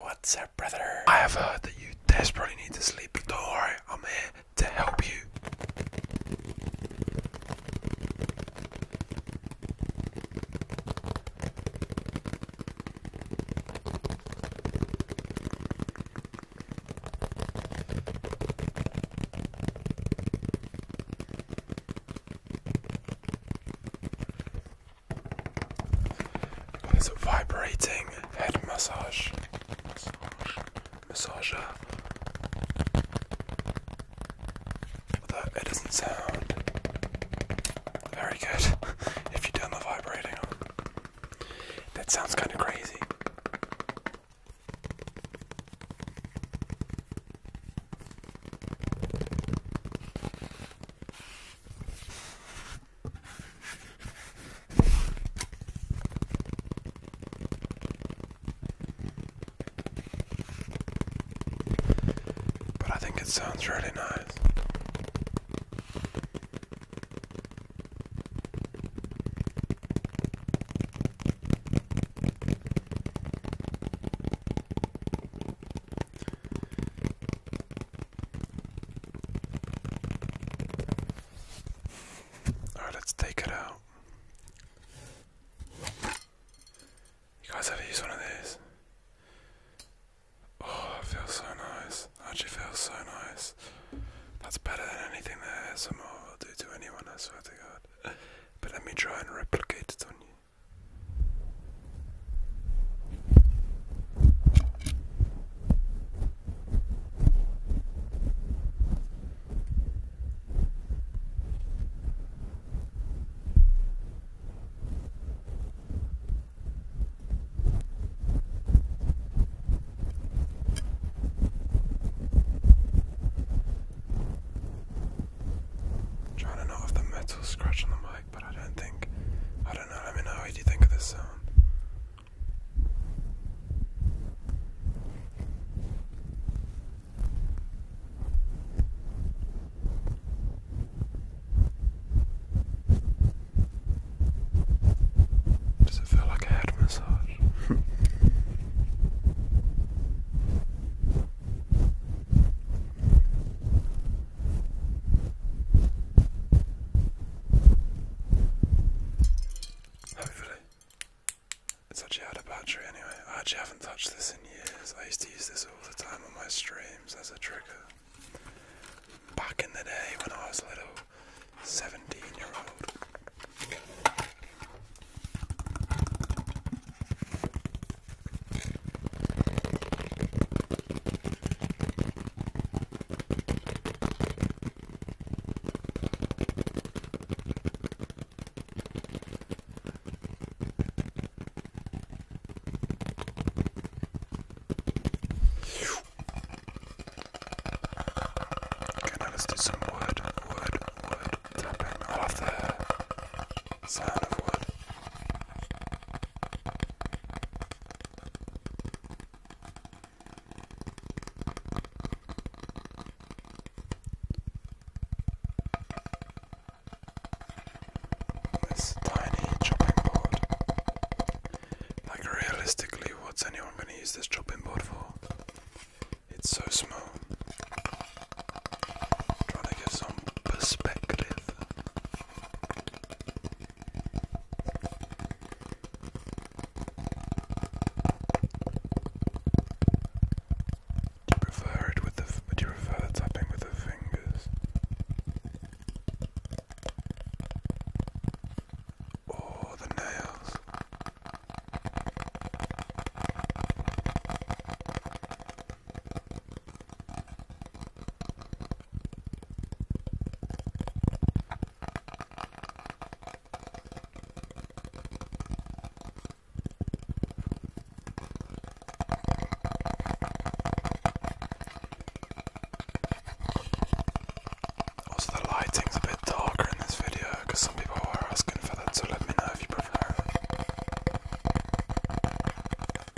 What's up, brother? I have heard that you desperately need to sleep, but don't worry, I'm here to help you. It's a vibrating head massage. Massage. Massager. Although it doesn't sound very good if you turn the vibrating on. That sounds kind of crazy. But I think it sounds really nice. Alright, let's take it out. You guys ever use one of these? Oh, that feels so nice. Actually, feels so nice. That's better than anything that ASMR will do to anyone, I swear to God. But let me try and replicate it on you. I'm trying to know if the metal's scratching the mic but I don't think. I don't know. Let me know what you think of this song. Does it feel like a head massage? Hopefully. It's actually out of battery anyway. I actually haven't touched this in years. I used to use this all the time on my streams as a trigger. Back in the day when I was little 17 year old. Can I just do some wood, wood, wood tapping? I love the sound of wood. This tiny chopping board. Like, realistically, what's anyone going to use this chopping board for? It's so small. trying to give some perspective. Do you prefer it with the? Would you prefer tapping with the fingers, or the nails? Also, the lighting's a bit darker in this video because some people were asking for that, so let me know if you prefer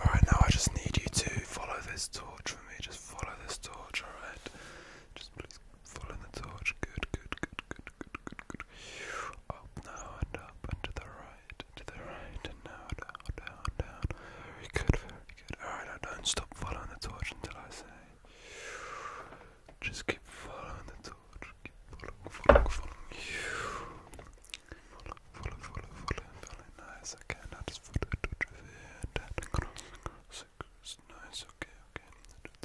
Alright, now I just need you to follow this torch for me. Just follow this torch, alright? Just please follow the torch. Good, good, good, good, good, good, good. Up now and up and to the right right, to the right, and down, down, down. Very good, very good. Alright, now don't stop following the torch until I say. Just keep following the torch. Keep following, following, following. Follow, follow, follow, follow, follow. Nice, okay. Now just follow the torch over here and down. Across, across. Nice, okay, okay.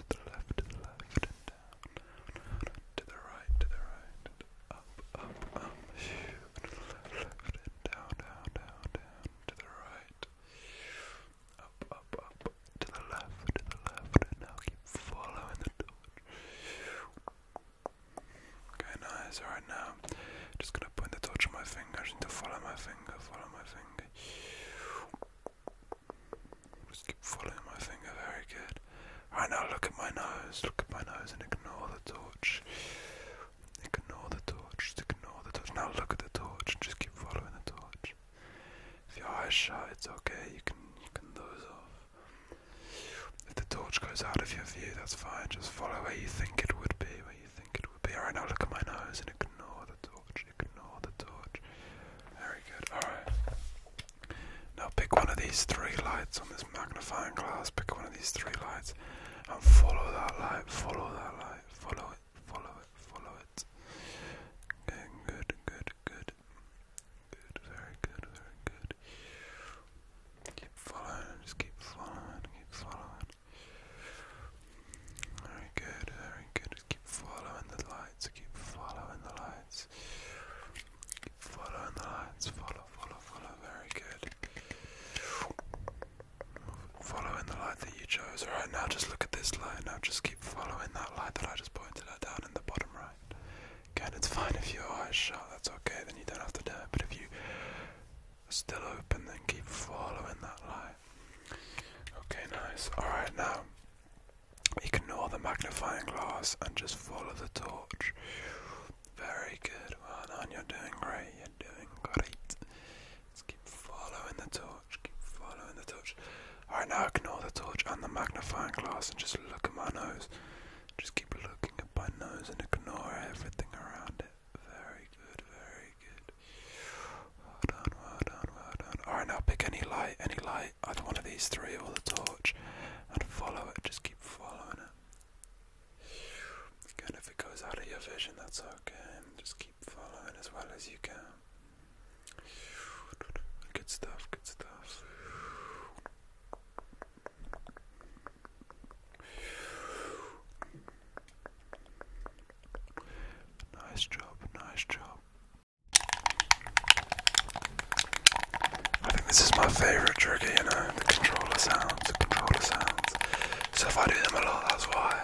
To the left, to the left, and down down, to the right, to the right, up, up, up, left down, down, down, to the right, up, up, up, to the left, to the left, now keep following the torch. Okay, nice. All right, now just gonna point the torch on my finger. need to follow my finger, follow my finger. Keep following my finger, very good. Right now, look at my nose, look at my nose and ignore the torch. Ignore the torch, just ignore the torch. Now look at the torch and just keep following the torch. If your eyes shut, it's okay, you can, you can doze off. If the torch goes out of your view, that's fine, just follow where you think it would be, where you think it would be. Alright, now look at my nose and ignore the torch, ignore the torch. Very good, alright. Now pick one of these three lights on this magnifying glass, pick one of these three lights and follow that light, follow that light, follow it, follow it, follow it. Okay, good, good, good. Good, very good, very good. Keep following, just keep following, keep following. Very good, very good. keep following the lights, keep following the lights. Follow the lights. Follow, follow, follow. Very good. Follow the light that you chose. Alright, now just look at this light. Now just keep following that light that I just pointed at down in the bottom right. Again, it's fine if your eyes shut. That's okay. Then you don't have to do it. But if you still open, then keep following that light. Okay, nice. Alright, now Ignore the magnifying glass and just follow the torch. Very good. Well done. You're doing great. You're doing great. Just keep following the torch. Keep following the torch. Alright, now ignore the torch and the magnifying glass and just look at my nose. Just keep looking at my nose and ignore everything around it. Very good. Very good. Well done. Well done. Well done. Alright, now pick any light. Any light either one of these three or the torch, and follow it. Just keep following it. Again, if it goes out of your vision, that's okay. Just keep following as well as you can. Good stuff, good stuff. Nice job, nice job. I think this is my favourite trigger, you know, the controller sounds, the controller sounds. So if I do them a lot, that's why.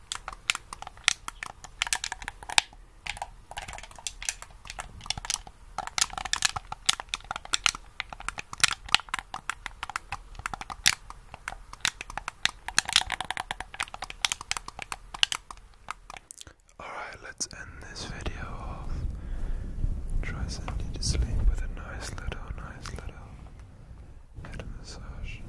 Alright, let's end this video off. Try send you to sleep with a nice little, nice little head massage. Now